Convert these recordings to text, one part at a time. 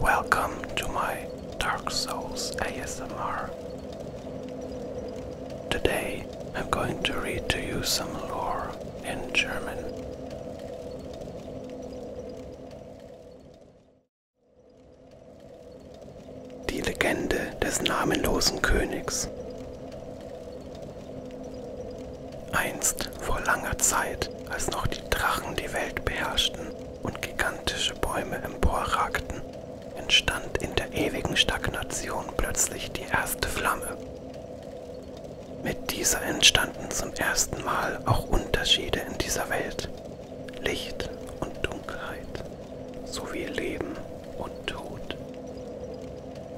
Welcome to my Dark Souls ASMR. Today I'm going to read to you some lore in German. Die Legende des namenlosen Königs Einst vor langer Zeit, als noch die Drachen die Welt beherrschten und gigantische Bäume emporragten, entstand in der ewigen Stagnation plötzlich die erste Flamme. Mit dieser entstanden zum ersten Mal auch Unterschiede in dieser Welt, Licht und Dunkelheit sowie Leben und Tod.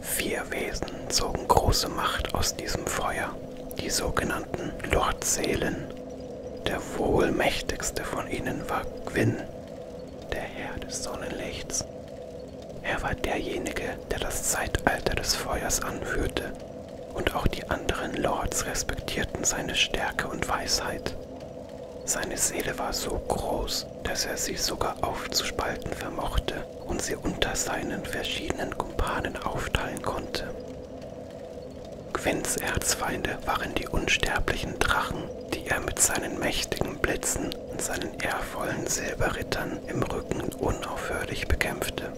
Vier Wesen zogen große Macht aus diesem Feuer, die sogenannten Lordseelen. Der wohlmächtigste von ihnen war Gwyn, der Herr des Sonnenlichts. Er war derjenige, der das Zeitalter des Feuers anführte, und auch die anderen Lords respektierten seine Stärke und Weisheit. Seine Seele war so groß, dass er sie sogar aufzuspalten vermochte und sie unter seinen verschiedenen Kumpanen aufteilen konnte. Gwens Erzfeinde waren die unsterblichen Drachen, die er mit seinen mächtigen Blitzen und seinen ehrvollen Silberrittern im Rücken unaufhörlich bekämpfte.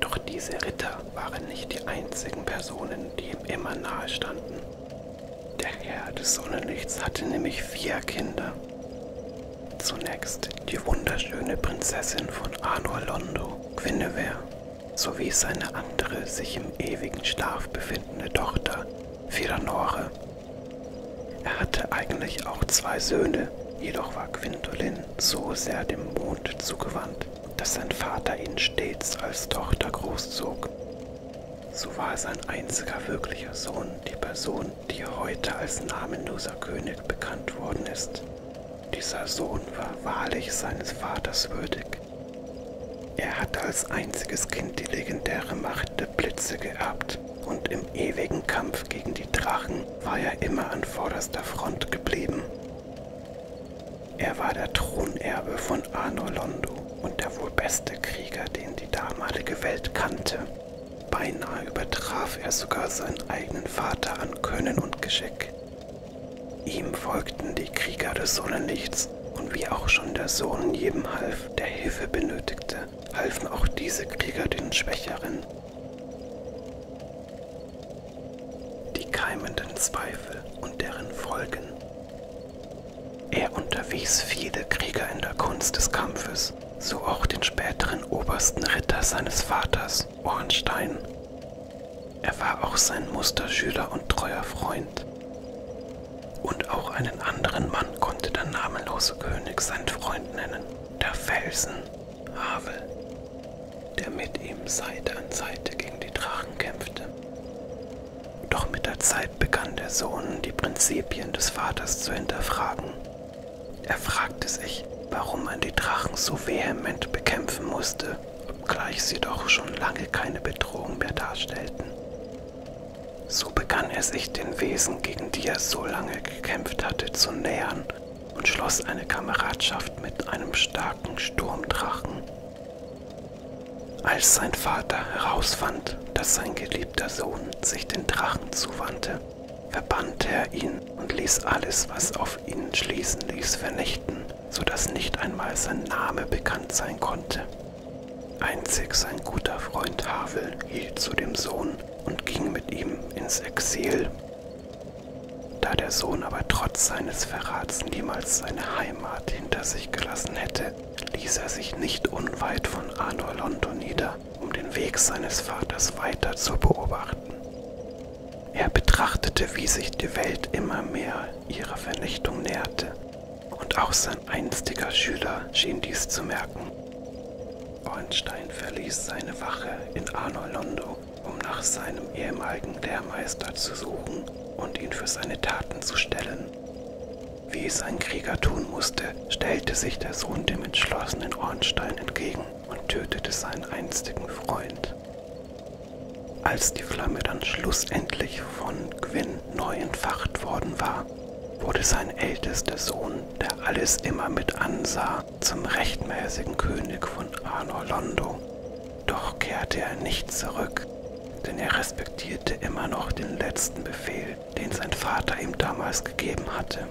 Doch diese Ritter waren nicht die einzigen Personen, die ihm immer nahe standen. Der Herr des Sonnenlichts hatte nämlich vier Kinder. Zunächst die wunderschöne Prinzessin von Anor Londo, Guinevere, sowie seine andere sich im ewigen Schlaf befindende Tochter, Firanore. Er hatte eigentlich auch zwei Söhne, jedoch war Gwendolin so sehr dem Mond zugewandt, dass sein Vater ihn stets als Tochter großzog. So war sein einziger wirklicher Sohn die Person die heute als namenloser König bekannt worden ist. Dieser Sohn war wahrlich seines Vaters würdig. Er hatte als einziges Kind die legendäre Macht der Blitze geerbt und im ewigen Kampf gegen die Drachen war er immer an vorderster Front geblieben. Er war der Thronerbe von Arnolondo und der wohl beste Krieger, den die damalige Welt kannte. Beinahe übertraf er sogar seinen eigenen Vater an Können und Geschick. Ihm folgten die Krieger des Sonnenlichts und wie auch schon der Sohn jedem half, der Hilfe benötigte, halfen auch diese Krieger den Schwächeren. Die keimenden Zweifel und deren Folgen. Er unterwies viele Krieger in der Kunst des Kampfes so auch den späteren obersten Ritter seines Vaters, Ornstein. Er war auch sein Musterschüler und treuer Freund. Und auch einen anderen Mann konnte der namenlose König seinen Freund nennen, der Felsen, Havel, der mit ihm Seite an Seite gegen die Drachen kämpfte. Doch mit der Zeit begann der Sohn, die Prinzipien des Vaters zu hinterfragen er fragte sich, warum man die Drachen so vehement bekämpfen musste, obgleich sie doch schon lange keine Bedrohung mehr darstellten. So begann er sich den Wesen, gegen die er so lange gekämpft hatte, zu nähern und schloss eine Kameradschaft mit einem starken Sturmdrachen. Als sein Vater herausfand, dass sein geliebter Sohn sich den Drachen zuwandte, verbannte er ihn und ließ alles, was auf ihn schließen ließ, vernichten, so dass nicht einmal sein Name bekannt sein konnte. Einzig sein guter Freund Havel hielt zu dem Sohn und ging mit ihm ins Exil. Da der Sohn aber trotz seines Verrats niemals seine Heimat hinter sich gelassen hätte, ließ er sich nicht unweit von Anor Londo nieder weiter, um den Weg seines Vaters weiter zu beobachten. Er betrachtete, wie sich die Welt immer mehr ihrer Vernichtung näherte, und auch sein einstiger Schüler schien dies zu merken. Ornstein verließ seine Wache in Arnolondo, um nach seinem ehemaligen Lehrmeister zu suchen und ihn für seine Taten zu stellen. Wie es ein Krieger tun musste, stellte sich der Sohn dem entschlossenen Ornstein entgegen und tötete seinen einstigen Freund. Als die Flamme dann schlussendlich von Gwyn neu entfacht worden war, wurde sein ältester Sohn, der alles immer mit ansah, zum rechtmäßigen König von Arnorlondo. Doch kehrte er nicht zurück, denn er respektierte immer noch den letzten Befehl, den sein Vater ihm damals gegeben hatte.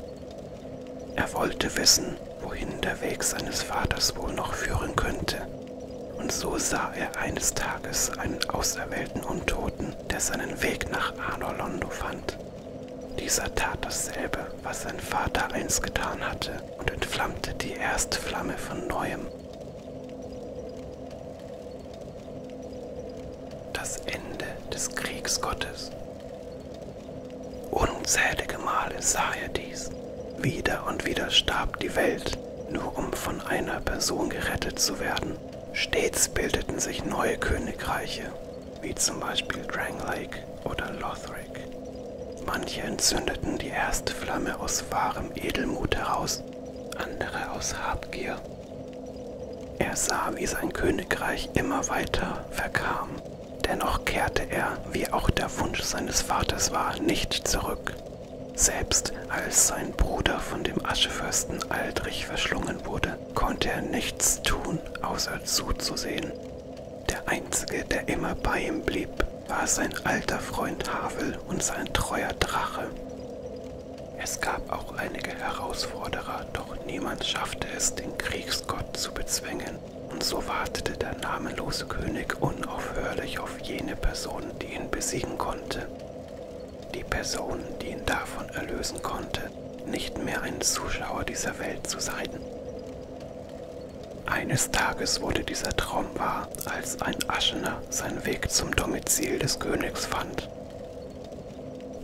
Er wollte wissen, wohin der Weg seines Vaters wohl noch führen könnte. Und so sah er eines Tages einen auserwählten Untoten, der seinen Weg nach Anorlondo fand. Dieser tat dasselbe, was sein Vater einst getan hatte, und entflammte die Erstflamme von neuem. Das Ende des Kriegsgottes. Unzählige Male sah er dies. Wieder und wieder starb die Welt, nur um von einer Person gerettet zu werden. Stets bildeten sich neue Königreiche, wie zum Beispiel Drang Lake oder Lothric. Manche entzündeten die erste Flamme aus wahrem Edelmut heraus, andere aus Habgier er sah, wie sein Königreich immer weiter verkam. Dennoch kehrte er, wie auch der Wunsch seines Vaters war, nicht zurück. Selbst als sein Bruder von dem Aschefürsten Aldrich verschlungen wurde, konnte er nichts tun, außer zuzusehen. Der einzige, der immer bei ihm blieb, war sein alter Freund Havel und sein treuer Drache. Es gab auch einige Herausforderer, doch niemand schaffte es, den Kriegsgott zu bezwingen. Und so wartete der namenlose König unaufhörlich auf jene Person, die ihn besiegen konnte. Die Person, die ihn davon erlösen konnte, nicht mehr ein Zuschauer dieser Welt zu sein. Eines Tages wurde dieser Traum wahr, als ein Aschener seinen Weg zum Domizil des Königs fand.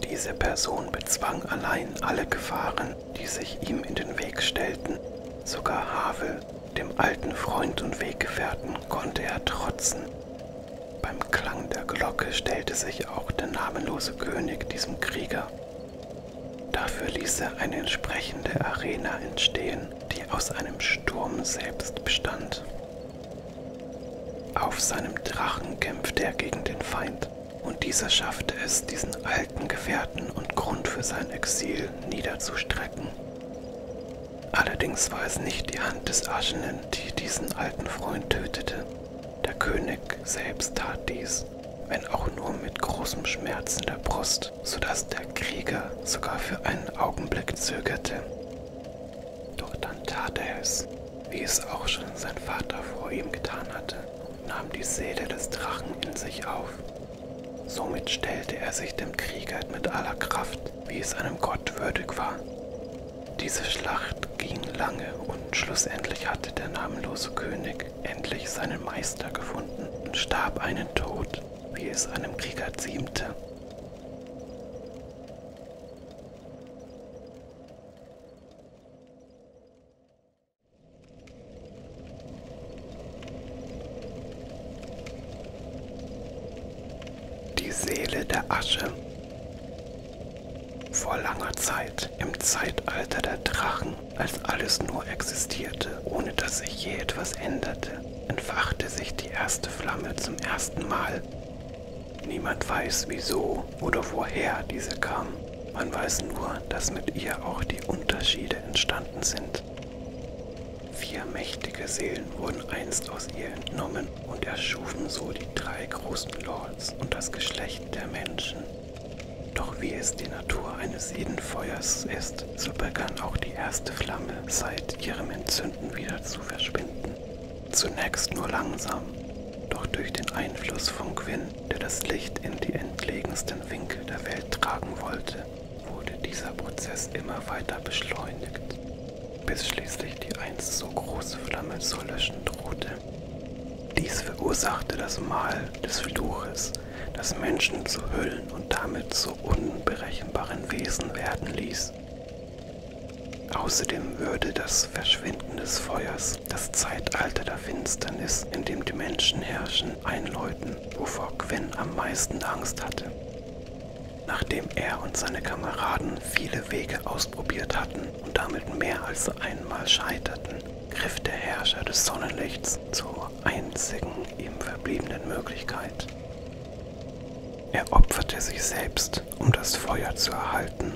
Diese Person bezwang allein alle Gefahren, die sich ihm in den Weg stellten. Sogar Havel, dem alten Freund und Weggefährten, konnte er trotzen. Beim Klang der Glocke stellte sich auch der namenlose König diesem Krieger. Dafür ließ er eine entsprechende Arena entstehen, die aus einem Sturm selbst bestand. Auf seinem Drachen kämpfte er gegen den Feind. Stadt. Und dieser schaffte es, diesen alten Gefährten und Grund für sein Exil niederzustrecken. Allerdings war es nicht die Hand des Aschenen, die diesen alten Freund tötete. Der König selbst tat dies, wenn auch nur mit großem Schmerz in der Brust, sodass der Krieger sogar für einen Augenblick zögerte. Doch dann tat er es wie es auch schon sein Vater vor ihm getan hatte, und nahm die Seele des Drachen in sich auf. Somit stellte er sich dem Krieger mit aller Kraft, wie es einem Gott würdig war. Diese Schlacht ging lange und schlussendlich hatte der namenlose König endlich seinen Meister gefunden und starb einen Tod, wie es einem Krieger ziemte. Die Seele der Asche. Vor langer Zeit, im Zeitalter der Drachen, als alles nur existierte, ohne dass sich je etwas änderte, entfachte sich die erste Flamme zum ersten Mal Niemand weiß, wieso oder woher diese kam. Man weiß nur, dass mit ihr auch die Unterschiede entstanden sind. Vier mächtige Seelen wurden einst aus ihr entnommen und erschufen so die drei großen Lords und das Geschlecht der Menschen. Doch wie es die Natur eines jeden Feuers ist, so begann auch die erste Flamme seit ihrem Entzünden wieder zu verschwinden. Zunächst nur langsam, doch durch den Einfluss von Quinn der das Licht in die entlegensten Winkel der Welt tragen wollte, wurde dieser Prozess immer weiter beschleunigt, bis schließlich die einst so große Flamme zu löschen drohte. Dies verursachte das Mal des Fluches, das Menschen zu Hüllen und damit zu unberechenbaren Wesen werden ließ. Außerdem würde das Verschwinden Funken des Feuers, das Zeitalter der Finsternis, in dem die Menschen herrschen, einläuten, wovor Gwen am meisten Angst hatte. Nachdem er und seine Kameraden viele Wege ausprobiert hatten und damit mehr als einmal scheiterten, griff der Herrscher des Sonnenlichts zur einzigen ihm verbliebenen Möglichkeit. Er opferte sich selbst, um das Feuer zu erhalten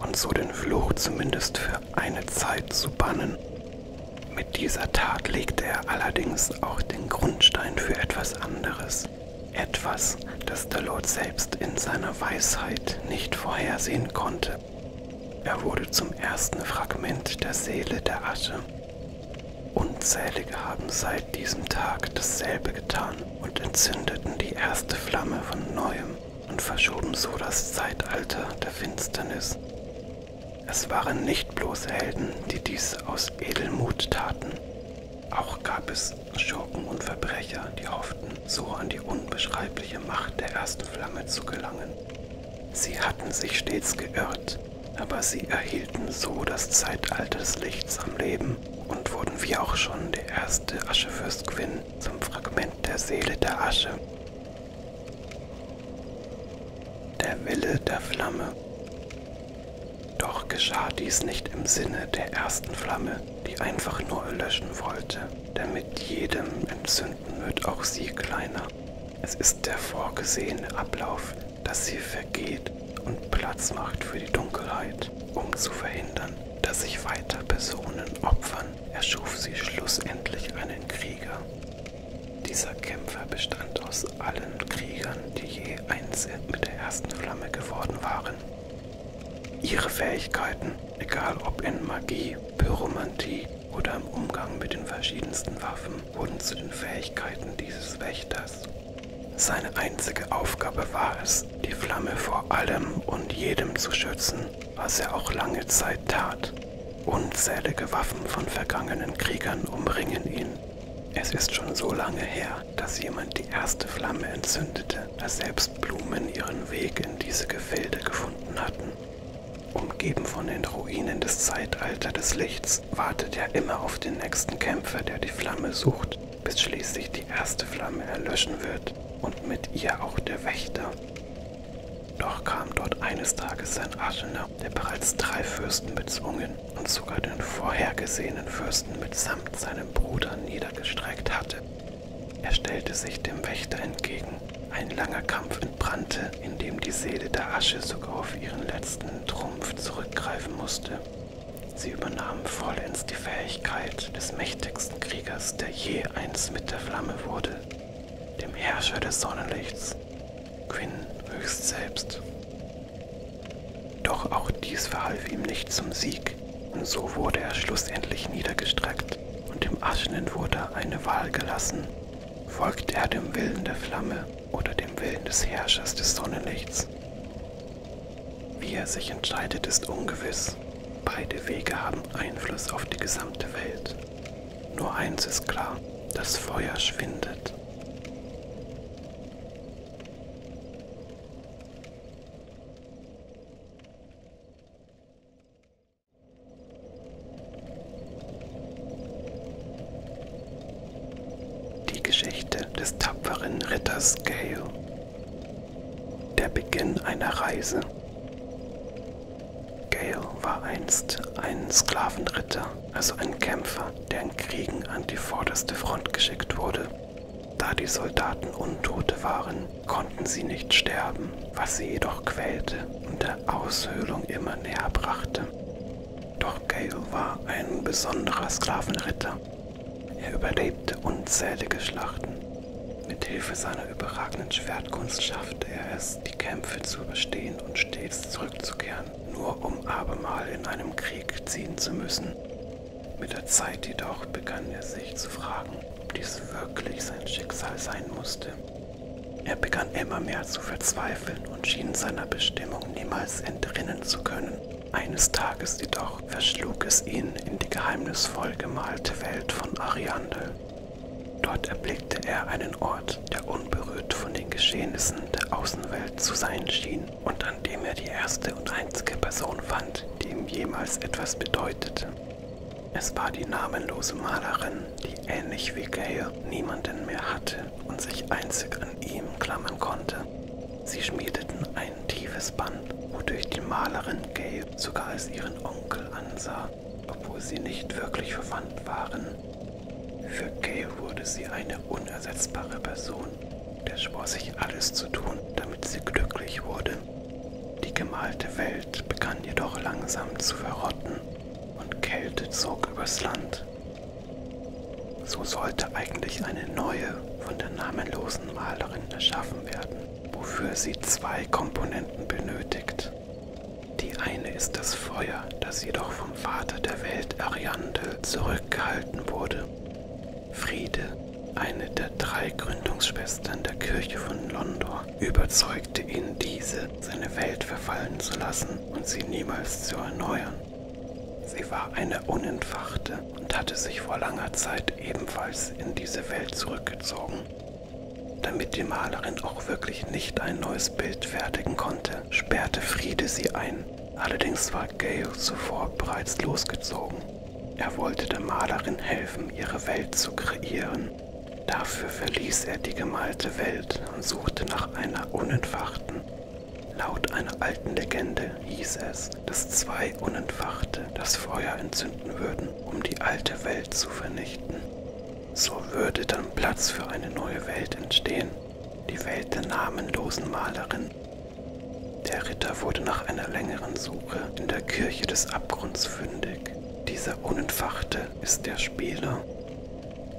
und so den Fluch zumindest für eine Zeit zu bannen. Mit dieser Tat legte er allerdings auch den Grundstein für etwas anderes. Etwas, das der Lord selbst in seiner Weisheit nicht vorhersehen konnte. Er wurde zum ersten Fragment der Seele der Asche. Unzählige haben seit diesem Tag dasselbe getan und entzündeten die erste Flamme von neuem und verschoben so das Zeitalter der Finsternis. Es waren nicht bloß Helden, die dies aus Edelmut taten. Auch gab es Schurken und Verbrecher, die hofften, so an die unbeschreibliche Macht der ersten Flamme zu gelangen. Sie hatten sich stets geirrt, aber sie erhielten so das Zeitalter des Lichts am Leben und wurden wie auch schon der erste Aschefürst Quinn zum Fragment der Seele der Asche, der Wille der Flamme. Doch geschah dies nicht im Sinne der ersten Flamme, die einfach nur löschen wollte, denn mit jedem Entzünden wird auch sie kleiner. Es ist der vorgesehene Ablauf, dass sie vergeht und Platz macht für die Dunkelheit, um zu verhindern, dass sich weiter Personen opfern erschuf sie schlussendlich einen Krieger. Dieser Kämpfer bestand aus allen Kriegern, die je eins mit der ersten Flamme geworden waren. Ihre Fähigkeiten, egal ob in Magie, Pyromantie oder im Umgang mit den verschiedensten Waffen, wurden zu den Fähigkeiten dieses Wächters. Seine einzige Aufgabe war es, die Flamme vor allem und jedem zu schützen, was er auch lange Zeit tat. Unzählige Waffen von vergangenen Kriegern umringen ihn. Es ist schon so lange her, dass jemand die erste Flamme entzündete, als selbst Blumen ihren Weg in diese Gefilde gefunden hatten. Umgeben von den Ruinen des Zeitalters des Lichts wartet er immer auf den nächsten Kämpfer, der die Flamme sucht, bis schließlich die erste Flamme erlöschen wird und mit ihr auch der Wächter. Doch kam dort eines Tages ein Aschener, der bereits drei Fürsten bezwungen und sogar den vorhergesehenen Fürsten mitsamt seinem Bruder niedergestreckt hatte. Er stellte sich dem Wächter entgegen. Ein langer Kampf entbrannte, in dem die Seele der Asche sogar auf ihren letzten Trumpf zurückgreifen musste. Sie übernahm vollends die Fähigkeit des mächtigsten Kriegers, der je eins mit der Flamme wurde. Gott, dem Herrscher des Sonnenlichts, Quinn höchst selbst. Doch auch dies verhalf ihm nicht zum Sieg, und so wurde er schlussendlich niedergestreckt und dem Aschenen wurde eine Wahl gelassen. Folgt er dem Willen der Flamme oder dem Willen des Herrschers des Sonnenlichts? Wie er sich entscheidet, ist ungewiss. Platz. Beide Wege haben Einfluss auf die gesamte Welt. Nur eins ist klar, das Feuer schwindet. Die Geschichte des tapferen Ritters Gale der Beginn einer Reise. Gale war einst ein Sklavenritter, also ein Kämpfer, der in Kriegen an die vorderste Front geschickt wurde. Da die Soldaten Untote waren, konnten sie nicht sterben, was sie jedoch quälte und der Aushöhlung immer näher brachte. Doch Gale war ein besonderer Sklavenritter. Er überlebte unzählige Schlachten mit Hilfe seiner überragenden Schwertkunst schaffte er es, die Kämpfe zu überstehen und stets zurückzukehren, nur um abermal in einem Krieg ziehen zu müssen. Mit der Zeit jedoch begann er sich zu fragen, ob dies wirklich sein Schicksal sein musste. Er begann immer mehr zu verzweifeln und schien seiner Bestimmung niemals entrinnen zu können. Eines Tages jedoch verschlug es ihn in die geheimnisvoll gemalte Welt von Ariandel, Dort erblickte er einen Ort, der unberührt von den Geschehnissen der Außenwelt zu sein schien und an dem er die erste und einzige Person fand, die ihm jemals etwas bedeutete. Es war die namenlose Malerin, die ähnlich wie Gale niemanden mehr hatte und sich einzig an ihm klammern konnte. Sie schmiedeten ein tiefes Band, wodurch die Malerin Gale sogar als ihren Onkel ansah obwohl sie nicht wirklich verwandt waren. Für Gale wurde sie eine unersetzbare Person. Der schwor sich alles zu tun, damit sie glücklich wurde. Die gemalte Welt begann jedoch langsam zu verrotten und Kälte zog übers Land. So sollte eigentlich eine neue, von der namenlosen Malerin erschaffen werden wofür sie zwei Komponenten benötigt. Die eine ist das Feuer, das jedoch vom Vater der Welt Ariandel zurückgehalten wurde. Friede, eine der drei Gründungsschwestern der Kirche von Londor, überzeugte ihn, diese seine Welt verfallen zu lassen und sie niemals zu erneuern. Sie war eine Unentfachte und hatte sich vor langer Zeit ebenfalls in diese Welt zurückgezogen, damit die Malerin auch wirklich nicht ein neues Bild fertigen konnte, sperrte Friede sie ein. Allerdings war Gale zuvor bereits losgezogen. Er wollte der Malerin helfen, ihre Welt zu kreieren. Dafür verließ er die gemalte Welt und suchte nach einer unentfachten, Laut einer alten Legende hieß es, dass zwei Unentfachte das Feuer entzünden würden, um die alte Welt zu vernichten. So würde dann Platz für eine neue Welt entstehen, die Welt der namenlosen Malerin. Der Ritter wurde nach einer längeren Suche in der Kirche des Abgrunds fündig. Dieser Unentfachte ist der Spieler.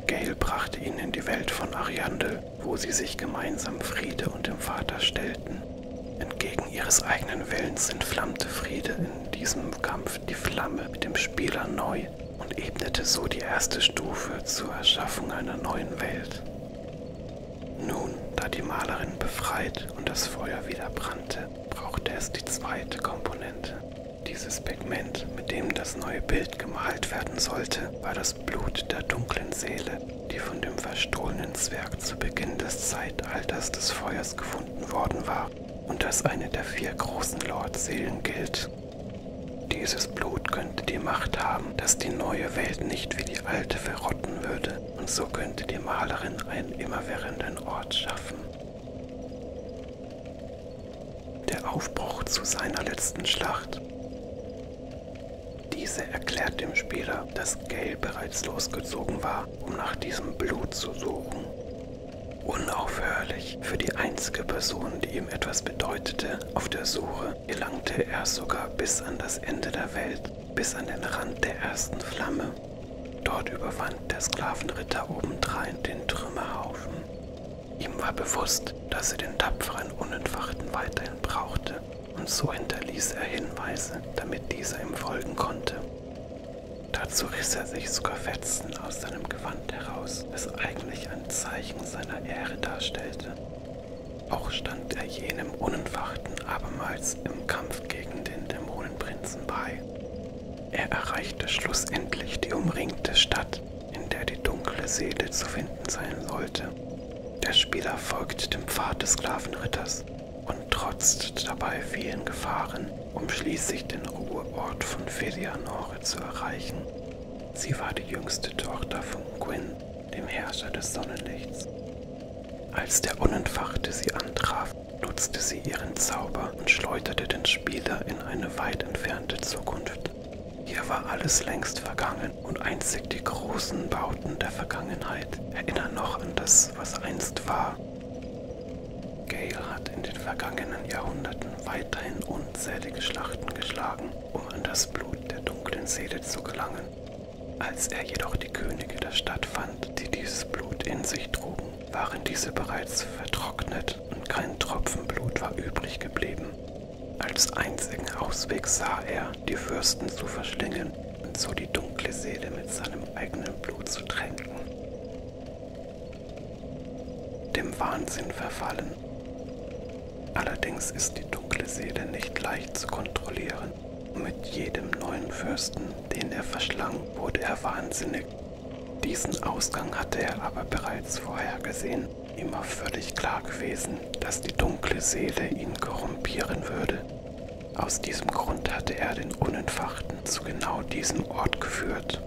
Gale brachte ihn in die Welt von Ariandel, wo sie sich gemeinsam Friede und dem Vater stellten. Entgegen ihres eigenen Willens entflammte Friede in diesem Kampf die Flamme mit dem Spieler neu und ebnete so die erste Stufe zur Erschaffung einer neuen Welt. Nun, da die Malerin befreit und das Feuer wieder brannte, brauchte es die zweite Komponente. Dieses Pigment, mit dem das neue Bild gemalt werden sollte, war das Blut der dunklen Seele, die von dem verstohlenen Zwerg zu Beginn des Zeitalters des Feuers gefunden worden war und als eine der vier großen Lord-Seelen gilt. Dieses Blut könnte die Macht haben, dass die neue Welt nicht wie die alte verrotten würde, und so könnte die Malerin einen immerwährenden Ort schaffen. Der Aufbruch zu seiner letzten Schlacht. Diese erklärt dem Spieler, dass Gale bereits losgezogen war, um nach diesem Blut zu suchen. Unaufhörlich für die einzige Person, die ihm etwas bedeutete, auf der Suche, gelangte er sogar bis an das Ende der Welt, bis an den Rand der ersten Flamme. Dort überwand der Sklavenritter obendrein den Trümmerhaufen. Ihm war bewusst, dass er den tapferen Unentfachten weiterhin brauchte, und so hinterließ er Hinweise, damit dieser ihm folgen konnte. Dazu riss er sich sogar Fetzen aus seinem Gewand heraus, das eigentlich ein Zeichen seiner Ehre darstellte. Auch stand er jenem Unenfachten abermals im Kampf gegen den Dämonenprinzen bei. Er erreichte schlussendlich die umringte Stadt, in der die dunkle Seele zu finden sein sollte. Der Spieler folgt dem Pfad des Sklavenritters und trotzt dabei vielen Gefahren, um schließlich den Ruheort von Fedianore zu erreichen. Sie war die jüngste Tochter von Gwyn, dem Herrscher des Sonnenlichts. Als der Unentfachte sie antraf, nutzte sie ihren Zauber und schleuderte den Spieler in eine weit entfernte Zukunft. Hier war alles längst vergangen und einzig die großen Bauten der Vergangenheit erinnern noch an das, was einst war Gale hat in den vergangenen Jahrhunderten weiterhin unzählige Schlachten geschlagen, um an das Blut der dunklen Seele zu gelangen. Als er jedoch die Könige der Stadt fand, die dieses Blut in sich trugen, waren diese bereits vertrocknet und kein Tropfen Blut war übrig geblieben. Als einzigen Ausweg sah er, die Fürsten zu verschlingen und so die dunkle Seele mit seinem eigenen Blut zu tränken dem Wahnsinn verfallen. Allerdings ist die dunkle Seele nicht leicht zu kontrollieren. Mit jedem neuen Fürsten, den er verschlang, wurde er wahnsinnig. Diesen Ausgang hatte er aber bereits vorhergesehen. Ihm war völlig klar gewesen, dass die dunkle Seele ihn korrumpieren würde. Aus diesem Grund hatte er den Unentfachten zu genau diesem Ort geführt geführt.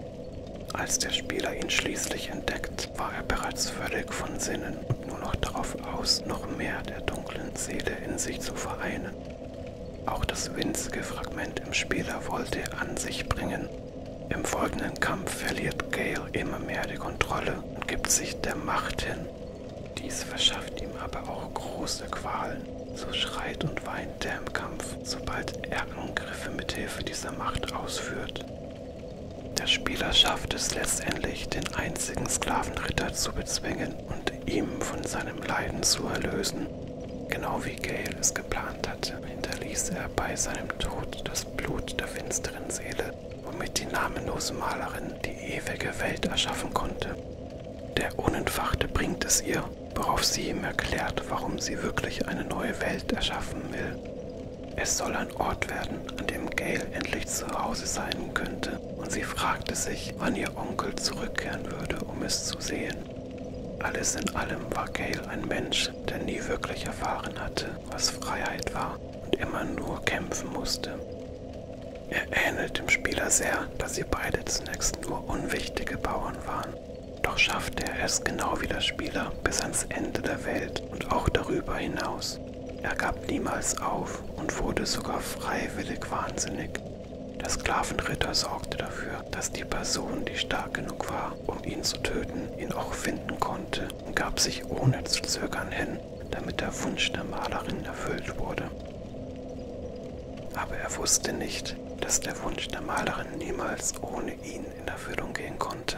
Als der Spieler ihn schließlich entdeckt, war er bereits völlig von Sinnen und nur noch darauf aus, noch mehr der dunklen Seele in sich zu vereinen. Auch das winzige Fragment im Spieler wollte er an sich bringen. Im folgenden Kampf verliert Gale immer mehr die Kontrolle und gibt sich der Macht hin. Dies verschafft ihm aber auch große Qualen. So schreit und weint er im Kampf, sobald er Angriffe mit Hilfe dieser Macht ausführt. Der Spieler schafft es letztendlich, den einzigen Sklavenritter zu bezwingen und ihn von seinem Leiden zu erlösen. Genau wie Gale es geplant hatte, hinterließ er bei seinem Tod das Blut der finsteren Seele, womit die namenlose Malerin die ewige Welt erschaffen konnte. Der Unentfachte bringt es ihr, worauf sie ihm erklärt, warum sie wirklich eine neue Welt erschaffen will. Es soll ein Ort werden, an dem Gail endlich zu Hause sein könnte, und sie fragte sich, wann ihr Onkel zurückkehren würde, um es zu sehen. Alles in allem war Gail ein Mensch, der nie wirklich erfahren hatte, was Freiheit war und immer nur kämpfen musste. Er ähnelt dem Spieler sehr, dass sie beide zunächst nur unwichtige Bauern waren, doch schaffte er es genau wie der Spieler bis ans Ende der Welt und auch darüber hinaus. Er gab niemals auf und wurde sogar freiwillig wahnsinnig. Der Sklavenritter sorgte dafür, dass die Person, die stark genug war, um ihn zu töten, ihn auch finden konnte und gab sich ohne zu zögern hin, damit der Wunsch der Malerin erfüllt wurde. Aber er wusste nicht, dass der Wunsch der Malerin niemals ohne ihn in Erfüllung gehen konnte.